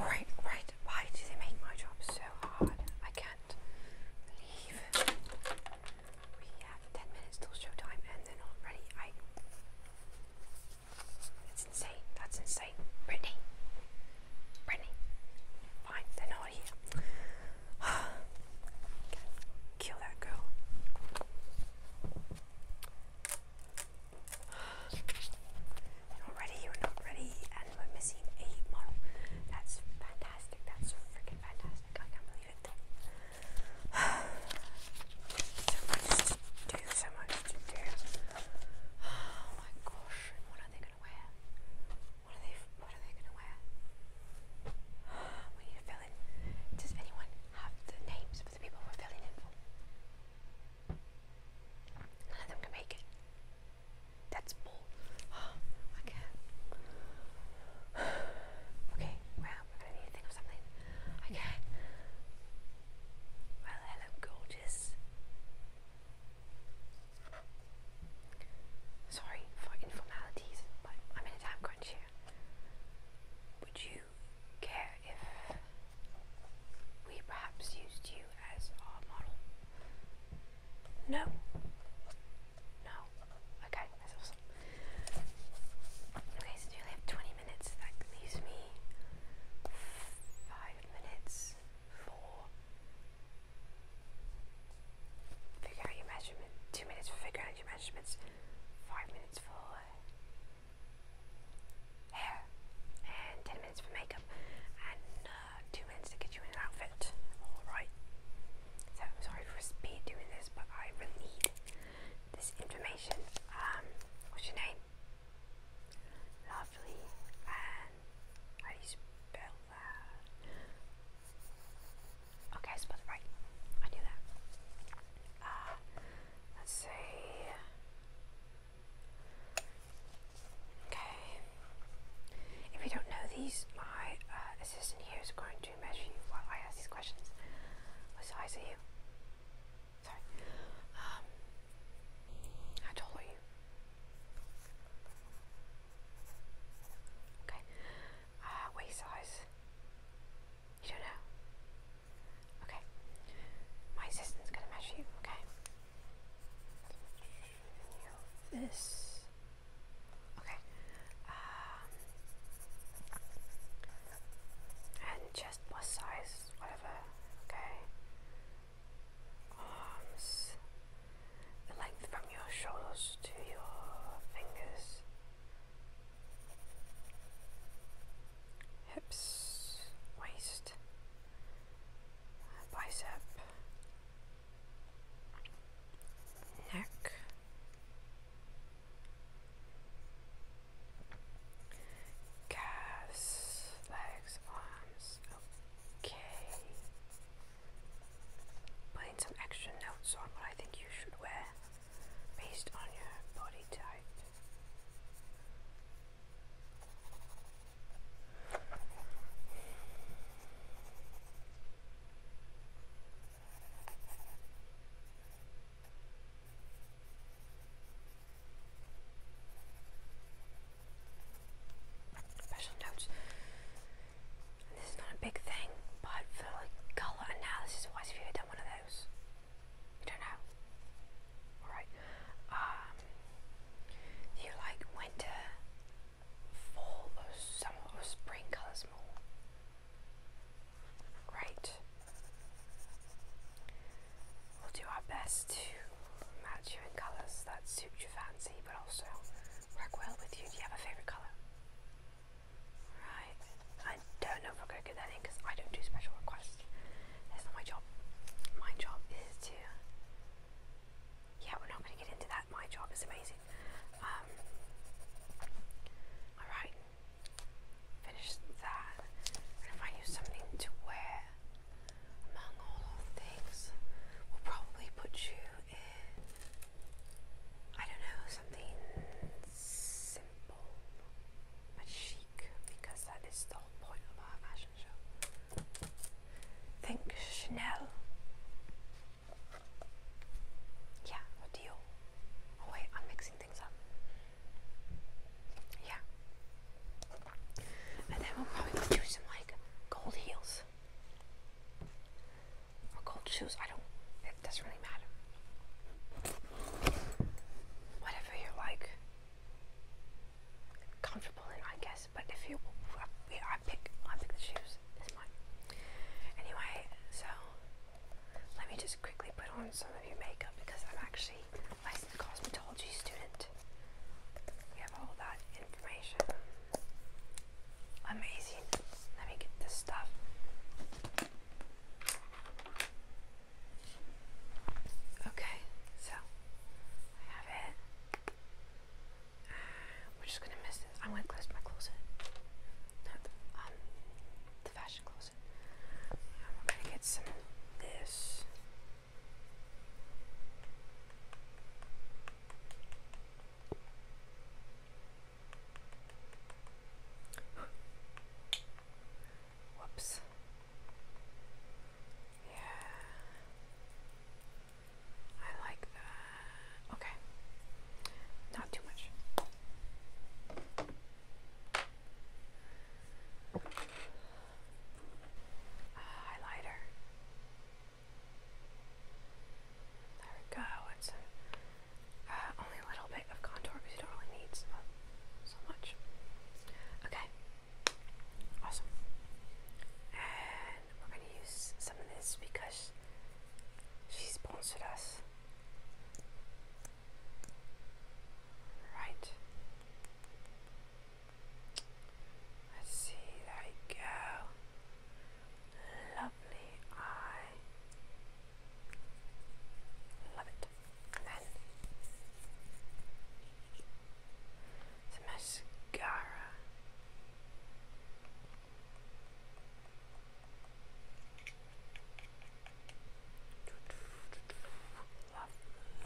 All right, right. Why do they make my job so hard? I can't believe we have ten minutes till showtime, and then already That's insane. That's insane, Brittany. Brittany. Fine, they're not here. Kill that girl. you you're not ready, and we're missing a model. That's fantastic, that's freaking fantastic. I can't believe it. so much to do, so much to do. Oh my gosh, what are they gonna wear? What are they? What are they gonna wear? We need to fill in. Does anyone have the names of the people we're filling in for? None of them can make it. That's bull. Oh, Okay, well, we need to think of something. I Well, hello, gorgeous. Sorry for informalities, but I'm in a time crunch here. Would you care if we perhaps used you as our model? No. No. Okay, Okay, so you only have 20 minutes. That leaves me 5 minutes for Figure out your measurement. Two minutes for figuring out your measurements. Five minutes for hair. And ten minutes for makeup. And uh, two minutes to get you in an outfit. Alright. So I'm sorry for speed doing this, but I really need this information. Um, what's your name? Lovely. And how spell Okay, spelled right. I knew that. Uh, let's see. Okay. If you don't know these, my uh, assistant here is going to measure you while I ask these questions. What size are you? Sorry. Um, how tall are you? Okay. Uh, waist size. You don't know. Okay. My assistant's gonna measure you, okay? This. Okay. Um, and chest plus size, whatever. Okay. Arms the length from your shoulders to your fingers, hips, waist, bicep, neck. Calves, legs, arms. Okay putting some extra notes on what I think you should wear based on your body type. Special notes this is not a big thing, but for like colour analysis wise, if you ever done one of those, you don't know. Alright. Um, do you like winter, fall, or summer, or spring colours more? Great. We'll do our best to match you in colours that suit your fancy, but also work well with you. Do you have a favorite color? Right. I don't know if I'm going to get that in because I don't do special requests. That's not my job. My job is to. Yeah, we're not going to get into that. My job is amazing. Um, Alright. Finish that. And if I use something to wear, among all of things, we'll probably put you I don't know, something simple but chic because that is the whole point of our fashion show. Think Chanel. Yeah, or Oh wait, I'm mixing things up. Yeah. And then we'll probably do some like gold heels or gold shoes. I don't, it doesn't really matter. Whatever you like comfortable I guess. But if you, I, pick, I pick the shoes. It's mine. Anyway, so let me just quickly put on some of your makeup because I'm actually a cosmetology student. We have all that information. Amazing. Let me get this stuff. Okay, so I have it. we're just gonna miss this. I'm gonna close my closet. Not um, the fashion closet. And um, we gonna get some of this. Whoops. Yeah. I like that. Okay. Not too much. Uh, highlighter. There we go. It's uh, uh, only a little bit of contour because you don't really need so much. Okay, awesome. And we're going to use some of this because she sponsored us. Right. Let's see, there you go. Lovely eye. Love it. And then some mascara.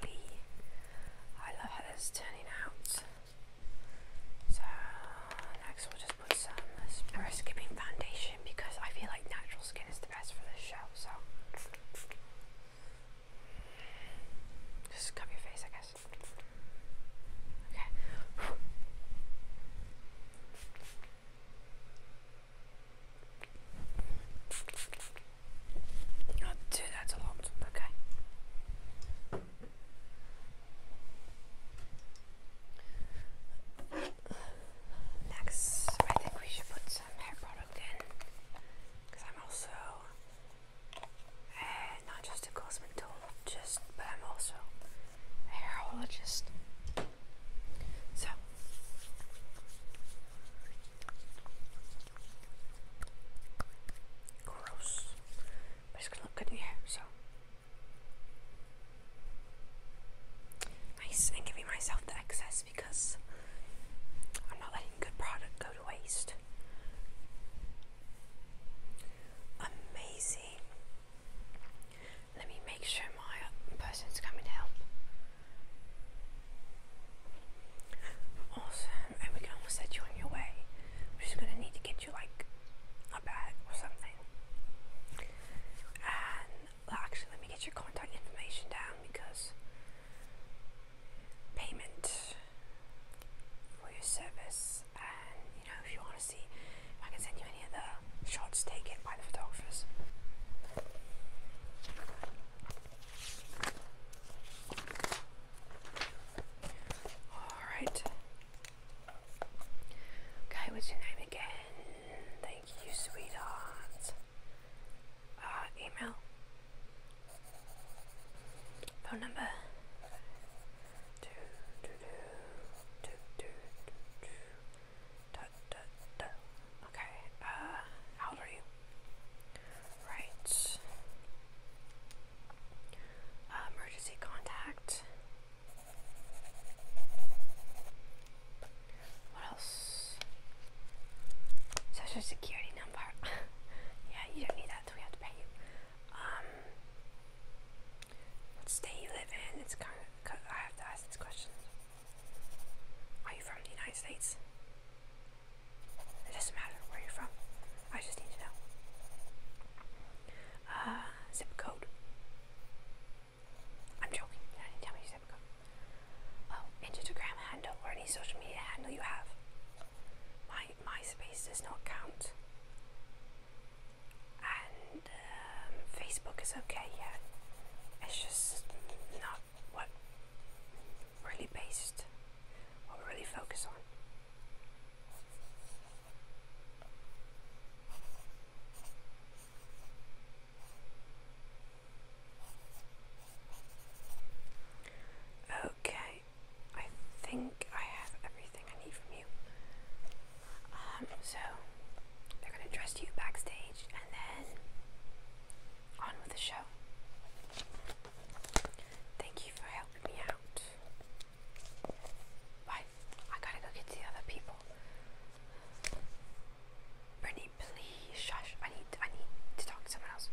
Lovely. I love how this is turning out. So next we'll just put some. And we foundation because I feel like natural skin is the best for this show. So just cover your face, I guess. Okay. Oh, dude, that's a lot. Okay. Next, I think we should put some hair product in because I'm also eh, not just a cosmetologist, but I'm also hairologist. So, gross it's gonna look good in your hair, so. Nice, and giving myself the excess because I'm not letting good product go to waste. Amazing. Let me make sure my person's coming to help. Awesome, and we can almost set you on your way. We're just gonna need to get you get you like a bag or something. And actually, let me get your contact information down because payment for your service, and you know, if you want to see I can send you any of shots taken by the photographers. Alright, Okay, what's your name again? Thank you, sweetheart. Uh, email. Phone number. Okay, uh, how old are you? Right. Uh, emergency contact. What else? Social security number. yeah, you don't need that. We have to pay you. Um, what state you live in? It's kind of. I have to ask these questions. Are you from the United States? It doesn't matter where you're from. I just need to know uh, zip code. I'm joking. I didn't tell me your zip code. Oh, Instagram handle or any social media handle you have. My MySpace does not count. And um, Facebook is okay, yeah. It's just not what really based what we really focus on. Okay, I think I have everything I need from you. Um, so they're gonna dress you backstage and then on with the show. Thank you for helping me out. Right, I gotta go get the other people. Brittany, please shush. I need I need to talk to someone else.